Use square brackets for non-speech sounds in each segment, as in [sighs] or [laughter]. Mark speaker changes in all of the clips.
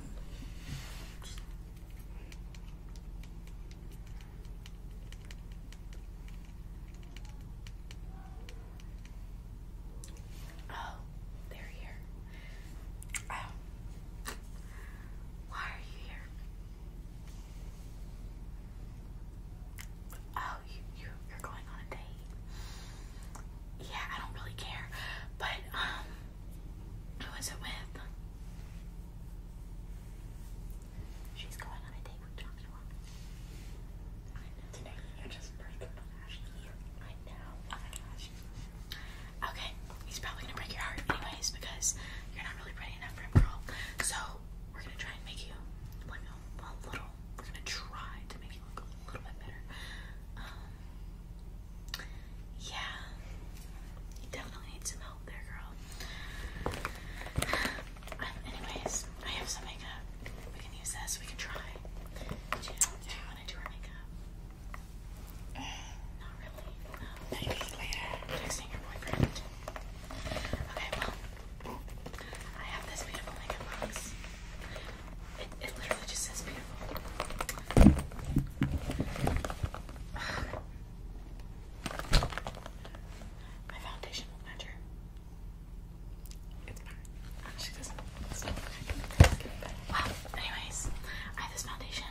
Speaker 1: Oh, they're here. Oh. Why are you here? Oh, you, you you're going on a date. Yeah, I don't really care, but um, who was it with? She's going on a date with Joshua. I know. Today you're just breaking my Ashley. I know. Oh okay, he's probably gonna break your heart anyways because you're not really pretty enough for him, girl. So we're gonna try and make you like a little. We're gonna try to make you look a little bit better. Um, yeah, you definitely need some help there, girl. [sighs] anyways, I have some makeup. We can use this. We can try. Do you, want to do our makeup? [sighs] Not really. Maybe later. Texting your boyfriend. Okay, well, I have this beautiful makeup box. It, literally just says beautiful. My foundation will matter. It's fine. Actually, doesn't. It's Wow. Anyways, I have this foundation.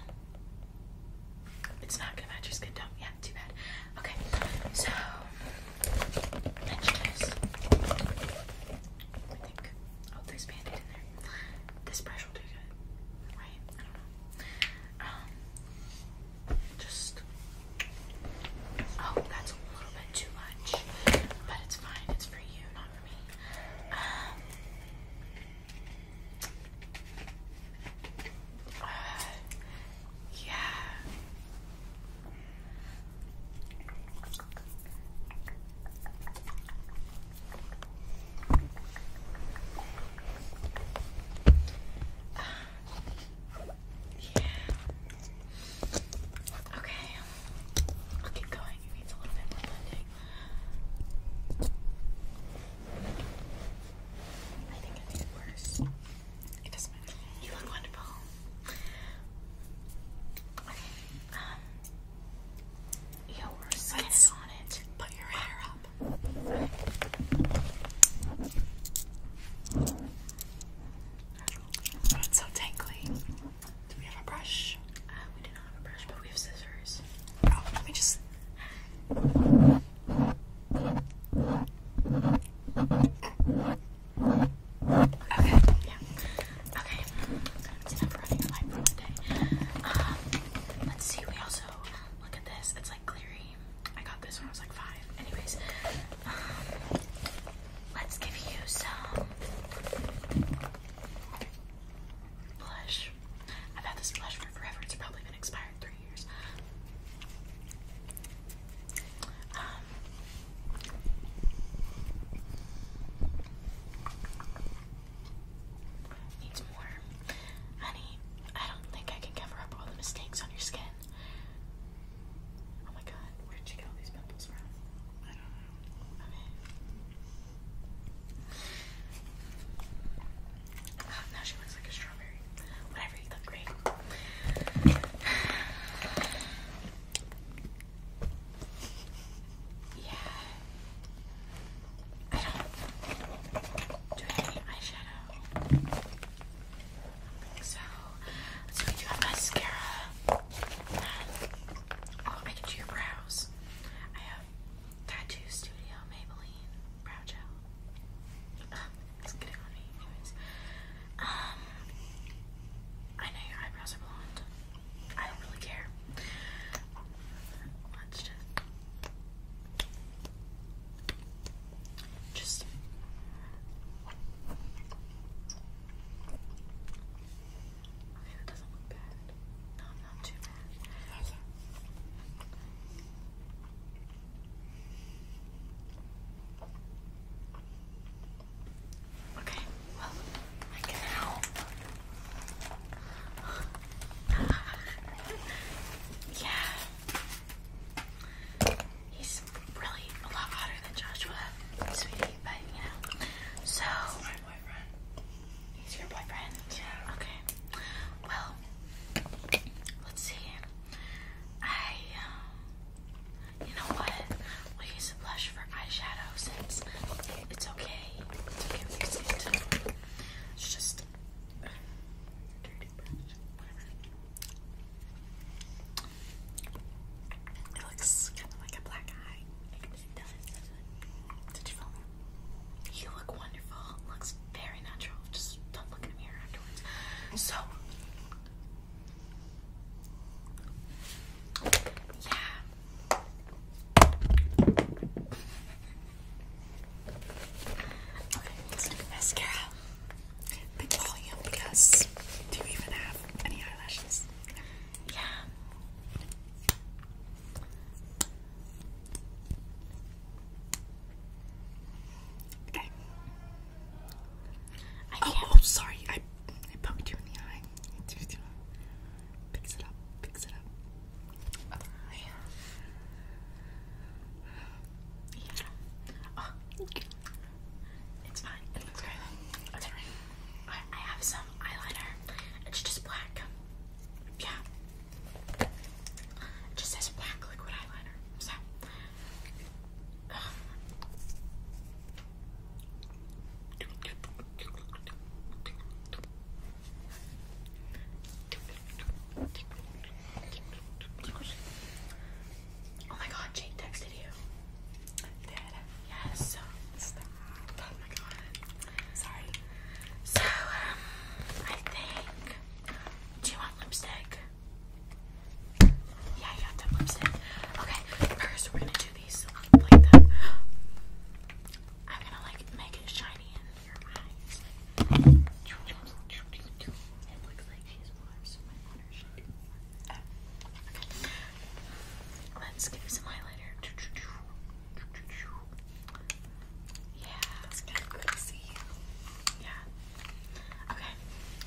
Speaker 1: It's not gonna match your skin tone. Yeah, too bad. Okay, so mention this. I think. Oh, there's bandaid in there. This brush will do good. Right? I don't know. Um, just... Oh, that's a little bit too much. But it's fine. It's for you, not for me. Um... Uh, yeah yeah. Okay. I'll keep going. It needs a little bit more blending. I think I worse. It doesn't matter. You look wonderful. Okay. Um, your face on it. Put your hair up. so tangly. Do we have a brush? Uh, we do not have a brush, but we have scissors. Oh, let me just. Okay, yeah. Okay, that's enough running a light for one um, let's see, we also look at this. It's like Cleary. I got this when I was like five. Anyways, um, let's give you some blush. I've had this blush for forever. It's probably been expired three years. Um, Needs more. Honey, I don't think I can cover up all the mistakes on your skin. Oh my god, where did you get all these pimples from? I don't know. Okay. Oh, [sighs] now she looks like a strawberry. Whatever, you look great. Yeah. I don't do any eyeshadow. I don't think do have mascara. Oh, I can do your brows. I have Tattoo Studio Maybelline Brow Gel. It's getting on me, anyways. Um, I know your eyebrows are blonde. I don't really care. Let's just just Okay, that doesn't look bad. No, not too Okay, well, I can help. yeah. He's really a lot hotter than Joshua, sweetie, but you know. So. my boyfriend. He's your boyfriend? Yeah. Okay. Well, let's see. I. Um, you know what? we use blush for eyeshadow since it's okay. It's okay with It's just dirty It looks kind of like a black eye. Did you feel me? You look wonderful. Looks very natural. Just don't look in the mirror afterwards. So yeah. let's do mascara. Big volume because do you even have any eyelashes? Yeah. Okay. Oh, oh, sorry. I, I bumped you in the eye. Picks it up. Picks it up. Oh, it's fine. It I have some eyeliner. It's just black. Yeah. just says black liquid eyeliner. So Oh my god, Jake texted you. Yes. Oh my god. Sorry. So, um, I think. Do you want lipstick? Yeah, yeah, that works in. Okay, first we're gonna do these like that. I'm gonna like make it shiny in your eyes. Let's give some highlighter. Yeah, that's good to see. Yeah, Okay,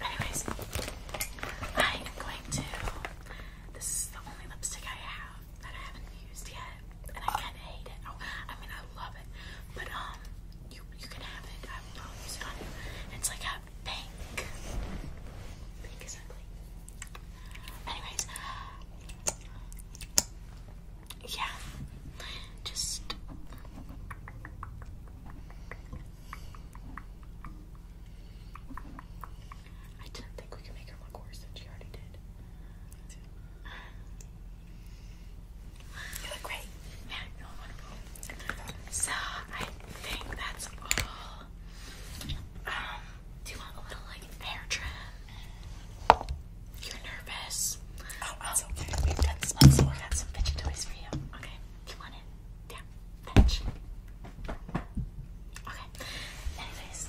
Speaker 1: anyways, I am going to. This is the only lipstick I have that I haven't used yet, and I kind of hate it. Oh, I mean, I love it, but um, you you can have it. I will use it on you. It's like a pink. Pink is ugly. Anyways, yeah, just. I didn't think we could make her look worse than she already did. You look great. Yeah, you look wonderful. So I think that's all. Um, do you want a little like hair trim? You're nervous. Oh, that's okay. We've done this before. I got some fidget toys for you. Okay. you want yeah, bench. Okay. Anyways.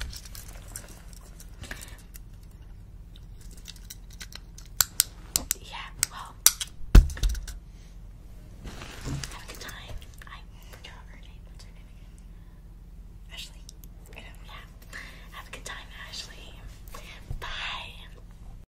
Speaker 1: Yeah, well. Have a good time. I What's her name again? Ashley. Yeah. Have a good time, Ashley. Bye.